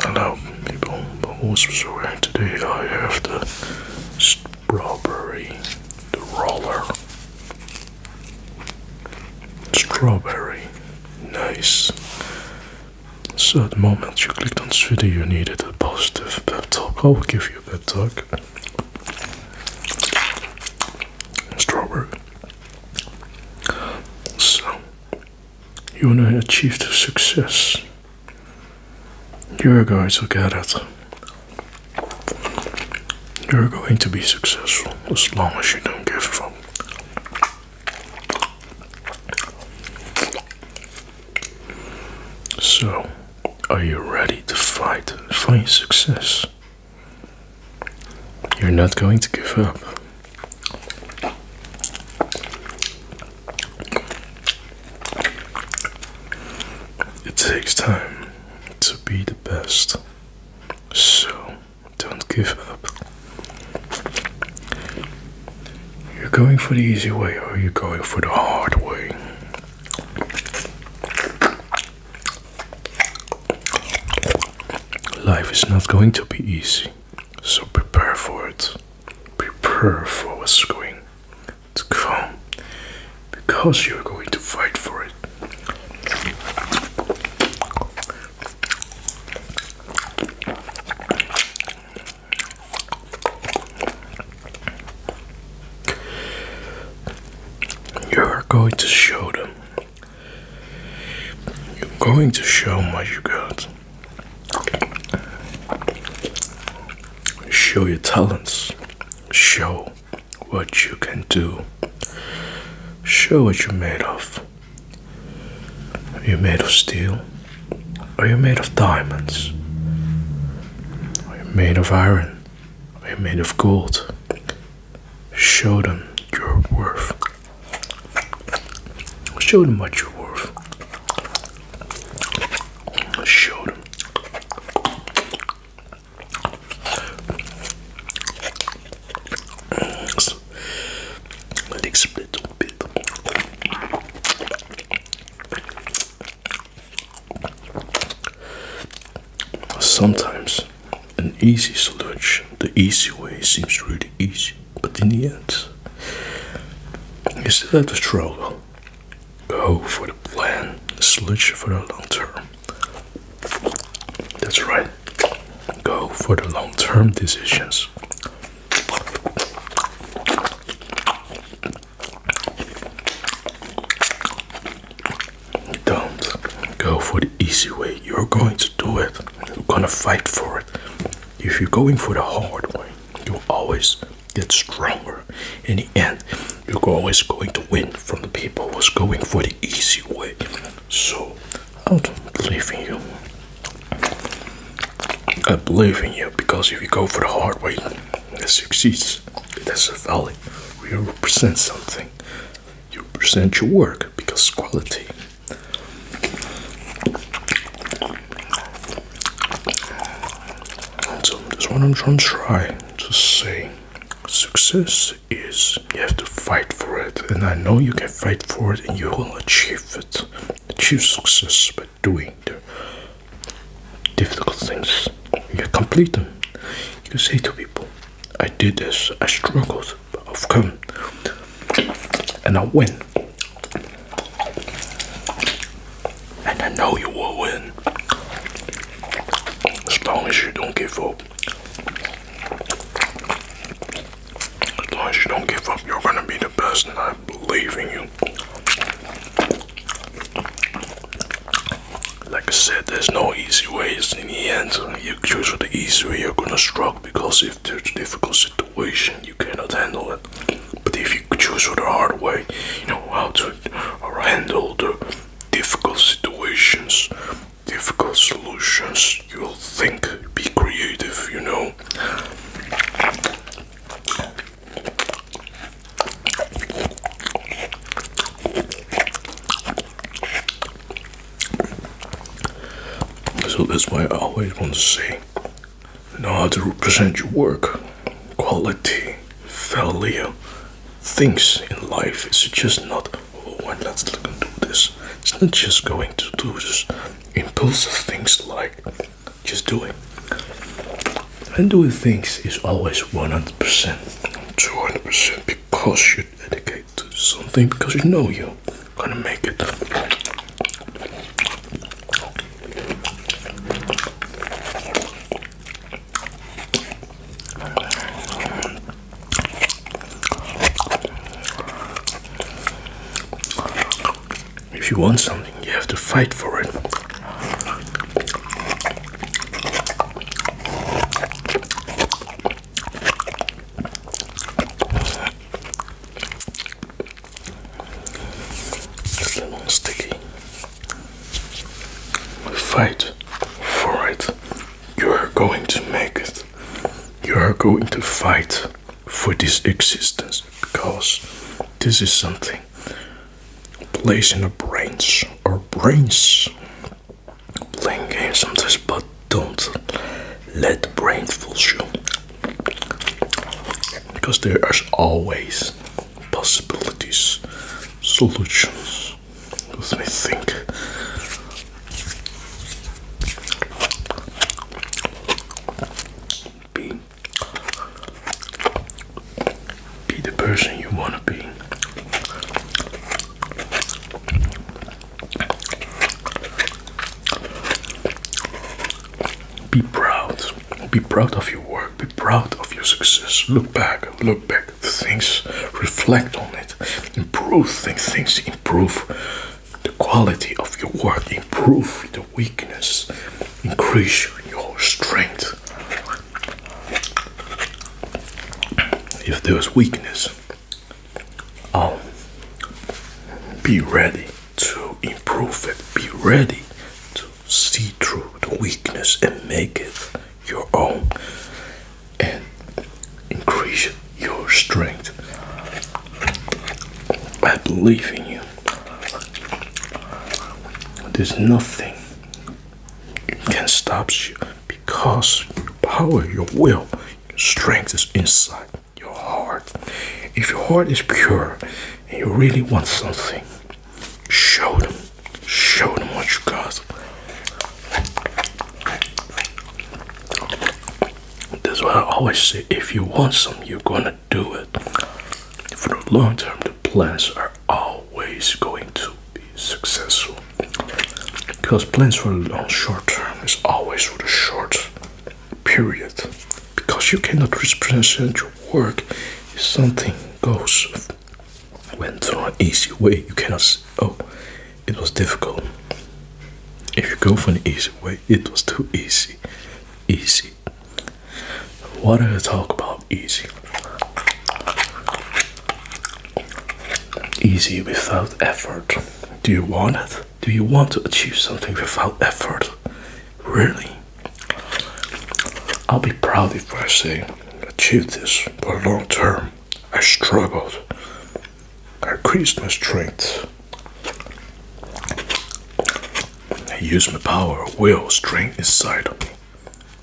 Hello people, but also sorry today I have the strawberry, the roller, strawberry, nice. So at the moment you clicked on this video you needed a positive pep talk, I will give you a pep talk. Strawberry. So, you want to achieve the success. You're going to get it. You're going to be successful as long as you don't give up. So, are you ready to fight for your success? You're not going to give up. It takes time to be the best, so don't give up. You're going for the easy way, or you're going for the hard way. Life is not going to be easy. So prepare for it. Prepare for what's going to come because you're going to fight for it. You're going to show them you're going to show what you got. Show your talents. Show what you can do. Show what you're made of. Are you made of steel? Are you made of diamonds? Are you made of iron? Are you made of gold? Show them your worth. Show them what you're worth. Show them. Let's split a bit. Sometimes an easy solution. The easy way seems really easy, but in the end, you still have to struggle. Go for the plan, the solution for the long term. That's right. Go for the long term decisions. Don't go for the easy way. You're going to do it. You're gonna fight for it. If you're going for the hard way, you always get stronger. In the end, you're always going to win from the people who's going for the easy way. So I don't believe in you. I believe in you because if you go for the hard way, it succeeds. that's has a value. We represent something you present your work because quality. So this one I'm trying to say success is you have to fight for it and I know you can fight for it and you will achieve it. Achieve success by doing the difficult things. You complete them. You say to people, I did this, I struggled, i of come And I will win. And I know you will win. As long as you don't give up. As long as you don't give up, you're gonna be the best, and I believe in you like I said, there's no easy ways in the end. You choose for the easy way, you're gonna struggle because if there's a difficult situation, you cannot handle it. But if you choose for the hard way, you know how to handle the difficult situations, difficult solutions, you'll think, be creative, you know. So that's why I always want to say know how to represent your work, quality, value, things in life. It's just not oh well, let's look and do this. It's not just going to do this impulsive things like just do it. And doing things is always 100%, 200% of course, you dedicate to something, because you know you're gonna make it. If you want something, you have to fight for it. Just a little sticky. Fight for it. You are going to make it. You are going to fight for this existence because this is something placed in our brains. Our brains playing games sometimes, but don't let the brain fool you because there are always possibilities, solutions. Let me think. B be the person you want to be. Be proud. Be proud of your work. Be proud of your success. Look back. Look back. Things. Reflect on it. Improve things. Things improve the quality of your work. Improve the weakness. Increase your strength. If there's weakness, I'll um, be ready to improve it. Be ready to see through the weakness and make it your own and increase your strength. I believe in you. There's nothing can not stop you because your power, your will, your strength is inside your heart. If your heart is pure and you really want something, show them. Show them what you got. That's why I always say if you want something, you're gonna do it. For the long term, the plans are all always going to be successful because plans for long short term is always for the short period because you cannot represent your work if something goes went an easy way you cannot oh it was difficult if you go for an easy way it was too easy easy what do I talk about easy? Easy without effort. Do you want it? Do you want to achieve something without effort? Really? I'll be proud if I say, achieved this for long term. I struggled. I increased my strength. I used my power, will, strength inside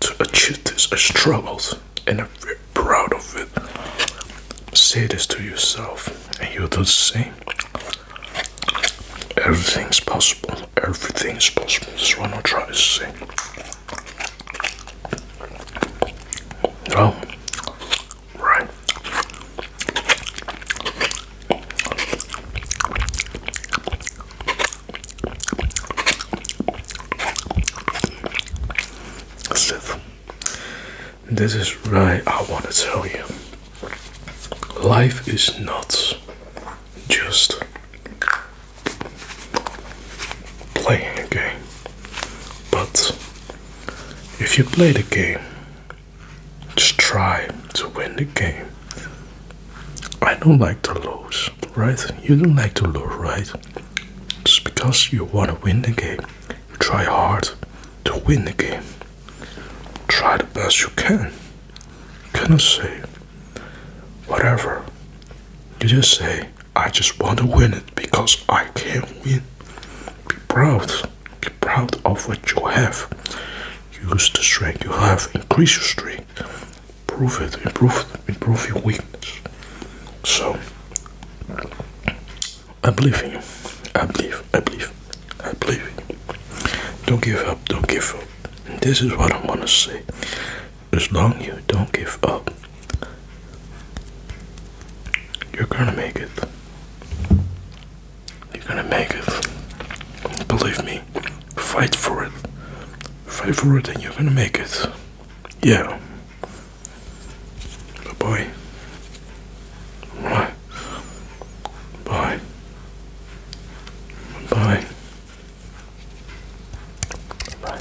to achieve this, I struggled and I'm very proud of it. Say this to yourself, and you'll do the same. Everything's possible, everything's possible. That's what I'm trying to say. Well, right. Listen, this is why I want to tell you life is not just playing a game, but if you play the game, just try to win the game I don't like to lose, right? You don't like to lose, right? It's because you want to win the game. You try hard to win the game. Try the best you can. You cannot say whatever. You just say, I just want to win it because I can win. Be proud. Be proud of what you have use the strength you have, increase your strength, Prove it, improve it, improve your weakness. So I believe in you. I believe, I believe, I believe Don't give up, don't give up. This is what I wanna say. As long you don't give up, you're gonna make it. You're gonna make it. Believe me. Fight for it. Fight for it and you're gonna make it. Yeah. Bye bye. Bye. Bye. Bye. Bye.